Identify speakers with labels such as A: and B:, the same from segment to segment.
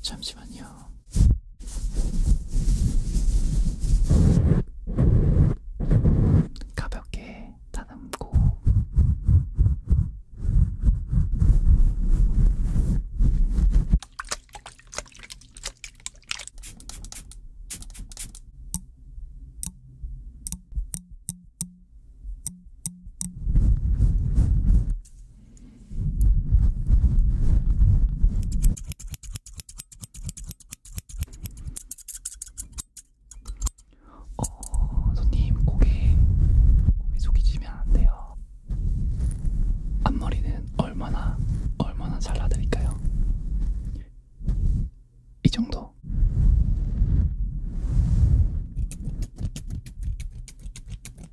A: 잠시만요. 가볍게 다듬고 어, 손님 고개 고개 숙이시면 안 돼요. 앞머리는 얼마나 얼마나 잘라드릴까요? 이 정도.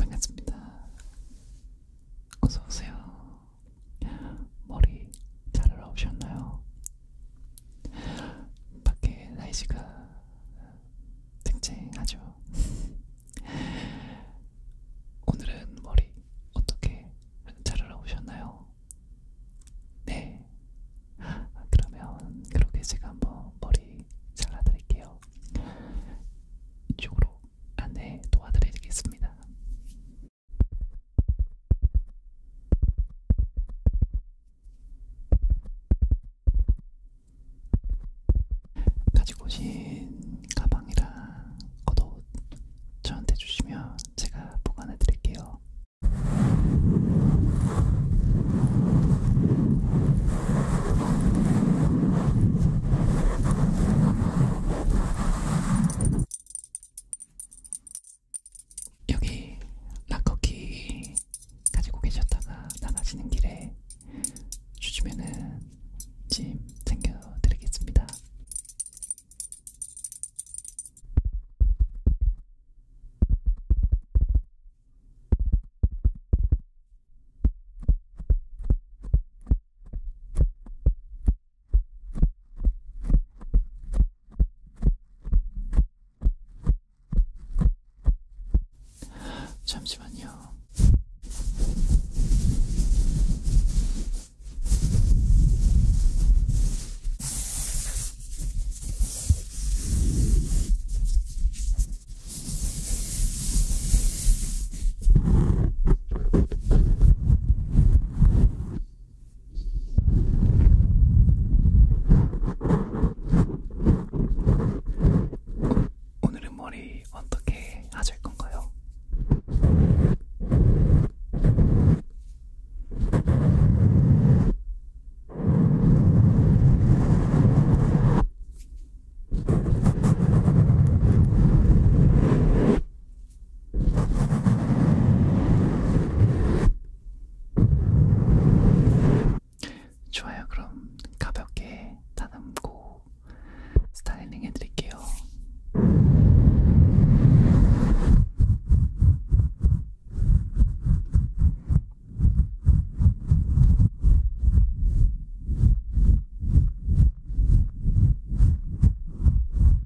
A: 반갑습니다. 어서 오세요. 머리 자르러 오셨나요? 밖에 날씨가 쨍쨍하죠. 오늘은 머리 어떻게 자르러 오셨나요? 네. 그러면 그렇게 제가 한번 머리 잘라드릴게요. 이쪽으로 안내 도와드리겠습니다. 가지고 오신 가방이랑 겉옷 저한테 주시면 제가 보관해 드릴게요. 여기 낙커키 가지고 계셨다가 나가시는 길에 주시면은 짐 챙겨드리겠습니다. 잠시만요. 오늘은 머리 어떻게 하실 건가요? 좋아요. 그럼 가볍게 다듬고 스타일링 해드릴게요.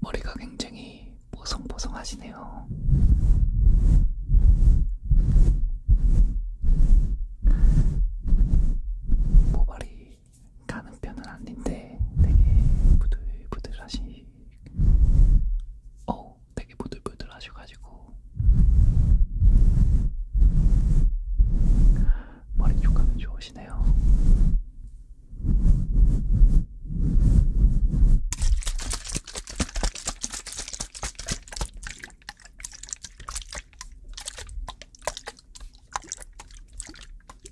A: 머리가 굉장히 보송보송하시네요. 모발이 가는 편은 아닌데 되게 부들부들하시 어 되게 부들부들하셔가지고 머리 쪽감이 좋으시네요.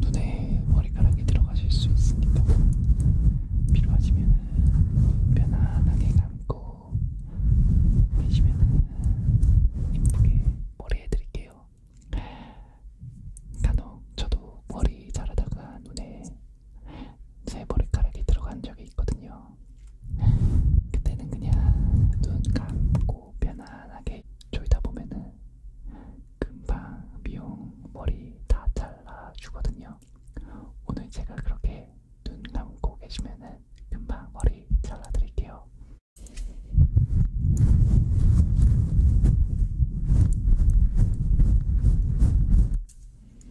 A: 눈에 머리카락이 들어가실 수 있으니까 필요하시면 편안하게 감고 계시면 이쁘게 머리 해드릴게요. 간혹 저도 머리 자르다가 눈에 새 머리카락이 들어간 적이 있거든요. 그때는 그냥 눈 감고 편안하게 졸다 보면은 금방 미용 머리 다 잘라주거든요. 오늘 제가 그렇게 눈 감고 계시면은 금방 머리 잘라드릴게요.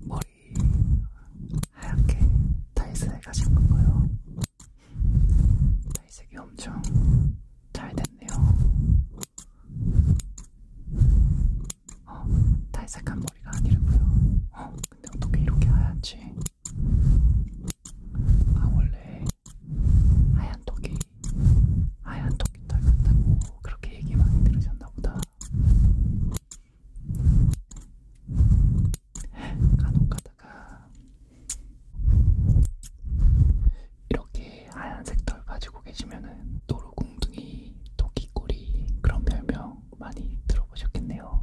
A: 머리 하얗게 탈색을 가진 건가요? 탈색이 엄청 잘
B: 됐네요. 어, 탈색한
A: 머리가 아니라고요. 어, 근데 어떻게 이렇게 하얗지? 아, 원래 하얀 턱이 하얀 토끼털 같다고 그렇게 얘기 많이 들으셨나 보다. 간혹 가다가 이렇게 하얀색 털 가지고 계시면은 도로공둥이, 토끼꼬리 그런 별명 많이 들어보셨겠네요.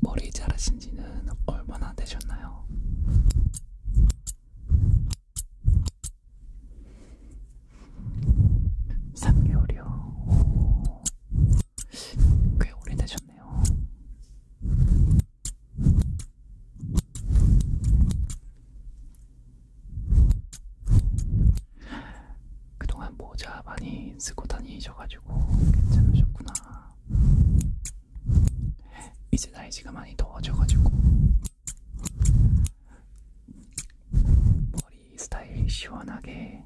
A: 머리 자르신 지는 얼마나 되셨나요? 삼개월이요꽤 오래되셨네요. 그동안 모자 많이 쓰고 다니셔가지고 괜찮으셨구나. 이제 날씨가 많이 더워져가지고 머리 스타일 시원하게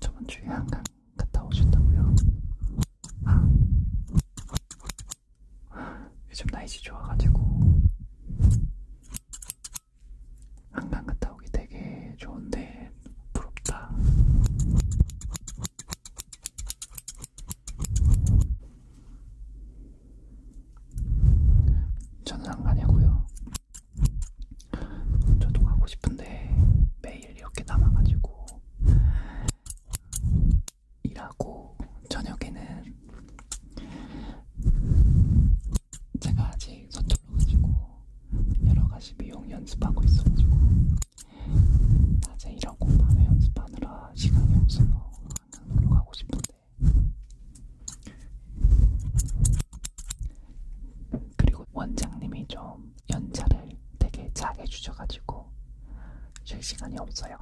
A: 저번 주에 한강 갔다 오셨다고요? 아. 요즘 날씨 좋아가지고 한강 갔다 오기 되게 좋은데 부럽다. 저는 안 가냐고요. 저도 가고 싶은데 매일 이렇게 남아가지고 일하고 저녁에는 제가 아직 서툴러가지고 여러가지 미용 연습하고 있어가지고 낮에 일하고 밤에 연습하느라 시간이 없어서 한강 놀러 가고 싶은데 그리고 원장님이 좀 연차를 되게 작게 주셔가지고 쉴 시간이 없어요.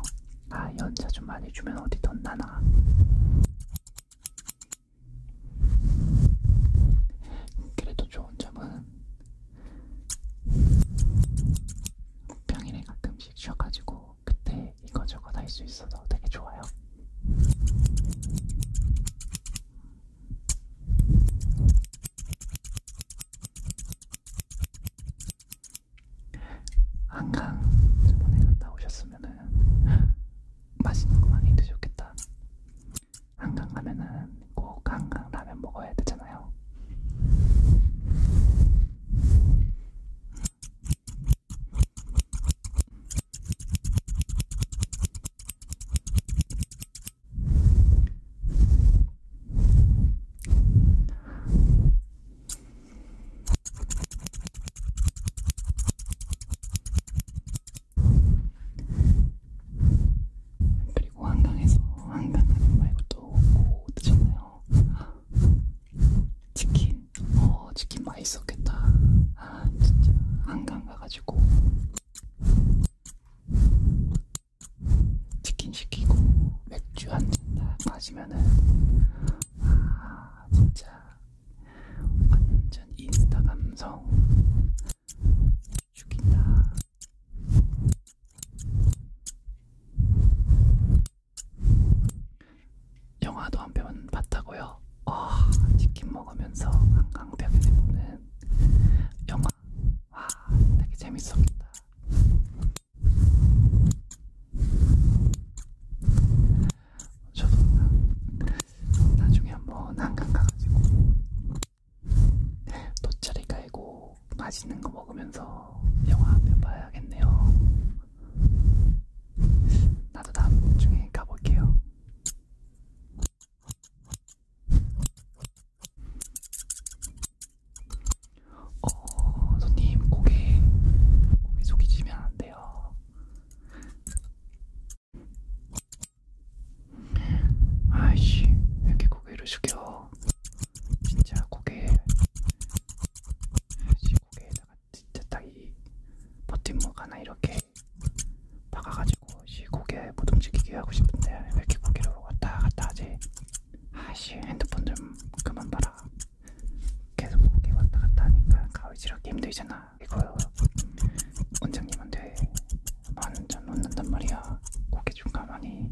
A: 아 연차 좀 많이 주면 어디 돈 나나. 그래도 좋은 점은 평일에 가끔씩 쉬어가지고 그때 이거저거 할 수 있어서 되게 좋아요. 한강 저번에 갔다 오셨으면은 맛있는 거 많이 드셨겠다. 한강 가면은 꼭 한강 라면 먹어야 되잖아요. 그리고 한강에서 한강 말고 또뭐 드셨나요? 치킨? 어 치킨 맛있었겠다. 아, 진짜 한강 가가지고 치킨 시키고 맥주 한 잔 마시면은 아 진짜 완전 인스타 감성 죽인다. 영화도 한 편 봤다고요? 와, 아, 치킨 먹으면서 한강대교를 보는 영화 와 아, 되게 재밌었겠다. 저도 나중에 한 번 한강 가가지고 돗자리 깔고 맛있는 거 먹으면서 영화 한편 봐야겠네요. 나도 다음 중에 가볼게요. 어, 손님 고개 고개 숙이시면 안 돼요. 아이씨, 왜 이렇게 고개를 숙여? 진짜 고개, 아이씨 고개에다가 진짜 딱이 버팀목 하나 이렇게 박아가지고 시 고개 못 움직이게 하고 싶은데 왜 이렇게 고개로 왔다 갔다 하지? 아씨 핸드폰 좀 그만 봐라. 계속 고개 왔다 갔다 하니까 가위질하기 힘들잖아. 이거 원장님한테 만원 놓는단 말이야. 고개 좀 가만히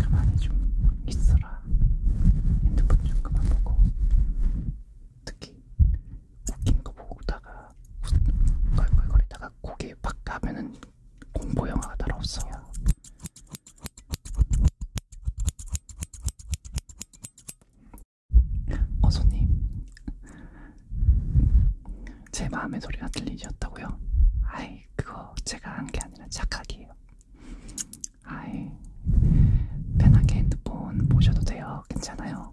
A: 가만히 좀 있어라. 핸드폰 좀 그만 보고. 특히 웃긴 거 보다가 걸걸거리다가 고개 팍 가면은 공포 영화가 따로 없어요. 어 손님, 제 마음의 소리가 들리셨다고요? 아이 그거 제가 한 게 아니라 착각이에요. 아이 편하게 핸드폰 보셔도 돼요. 괜찮아요.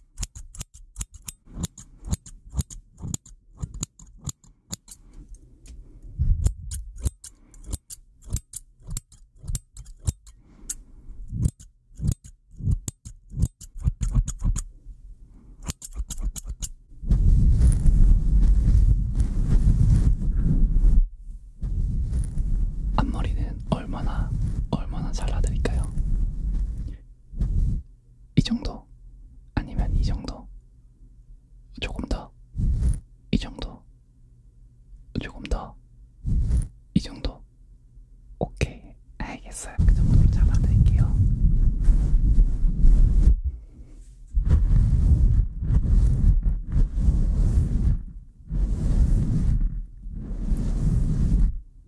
A: 앞머리는 얼마나 얼마나 잘라드릴까요? 이 정도 아니면 이 정도 조금 더이 정도 조금 더이 정도 오케이 알겠어요 그 정도로 잡아드릴게요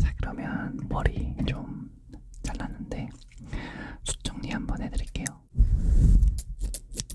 A: 자, 그러면 머리 좀 잘랐는데 숱 정리 한번 해드릴게요.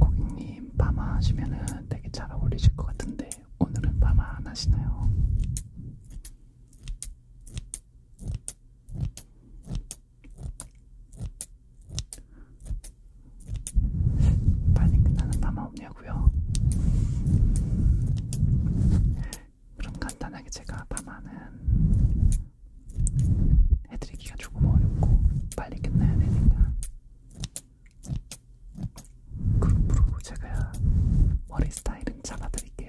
A: 고객님 파마 하시면은 되게 잘 어울리실 것 같은데 오늘은 파마 안 하시나요? 많이 끝나는 밤아 없냐고요? 그럼 간단하게 제가 밤아는 해드리기가 조금 어렵고 빨리 끝나야 되니까 그룹으로 제가 머리 스타일은 잡아드릴게요.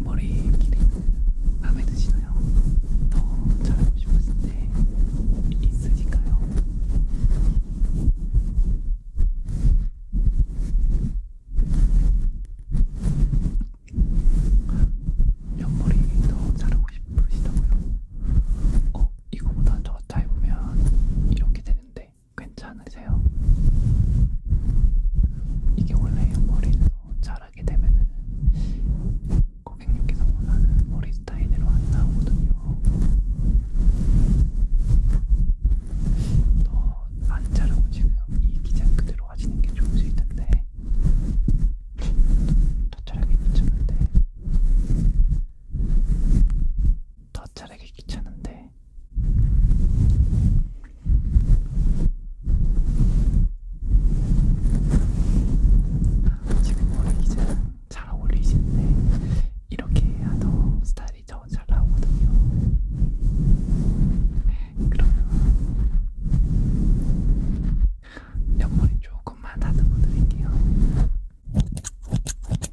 A: 머리 길이 마음에 드시나요? 더 잘하고 싶었을 때 있으니까요. 옆머리 더 자르고 싶으시다고요? 어, 이거보다 더 짧으면 이렇게 되는데 괜찮으세요? 이게 원래 머리도 자라게 되면은 고객님께서 원하는 머리 스타일대로 안 나오거든요. 더 안 자르고 지금 이 기장 그대로 하시는 게 좋으실 텐데 더 자르게 붙였는데 더 자르기 귀찮은데 지금 머리 이제 잘 어울리시는데 이렇게 해야 더 스타일이 더 잘 나오거든요. 그러면 옆머리 조금만 다듬어 드릴게요.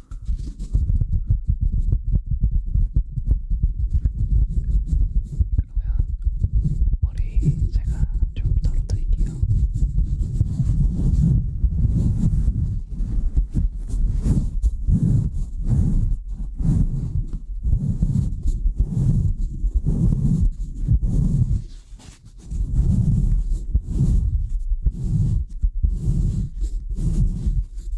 A: 그러면 머리 제가 좀 털어드릴게요.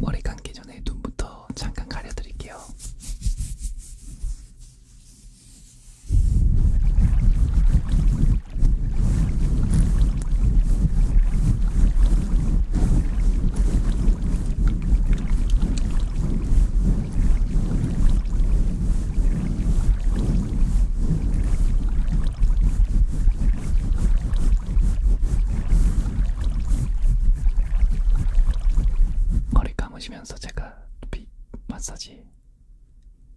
A: 머리 감기 전에 눈부터 해서 잠깐 가려드릴게요. 머리 감으시면서 제가 비 마사지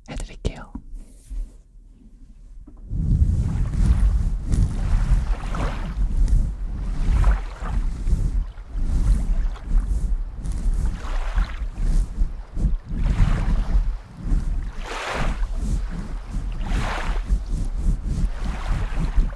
A: 해드릴게요.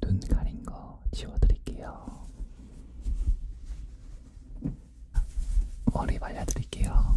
A: 눈 가린 거 지워드릴게요. 머리 말려드릴게요.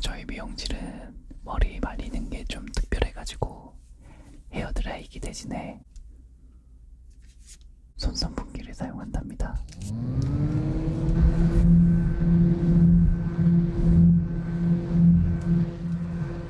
A: 저희 미용실은 머리 말리는 게 좀 특별해가지고 헤어드라이기 대신에 손선풍기를 사용한답니다.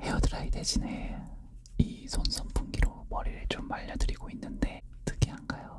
A: 헤어드라이 대신에 이 손선풍기로 머리를 좀 말려드리고 있는데 특이한가요?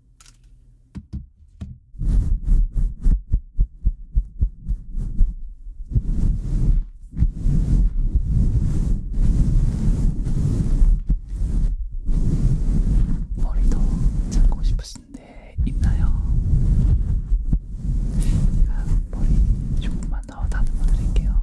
A: 머리도 잡고 싶으신데 있나요? 제가 머리 조금만 더 다듬어 드릴게요.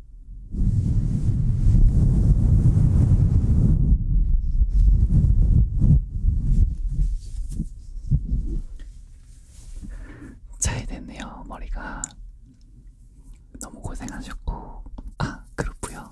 A: 잘 됐네요. 머리가 너무 고생하셨고, 아 그렇구요.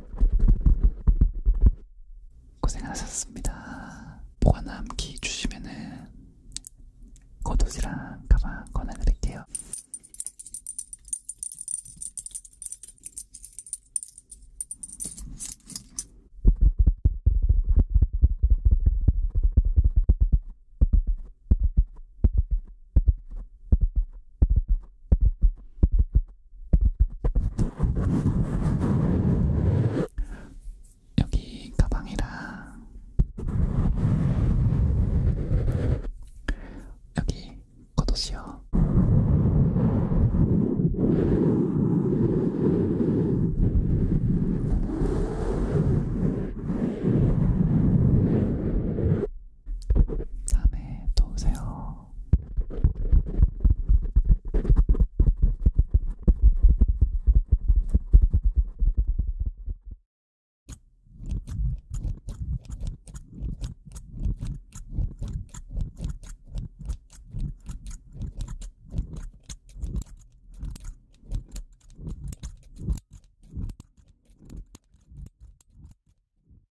B: 고생하셨습니다.
A: 보관함키 주시면은 고도지랑 가방 권해드릴게요. 여기 가방이랑 여기 겉옷이요. 다음에 또 오세요.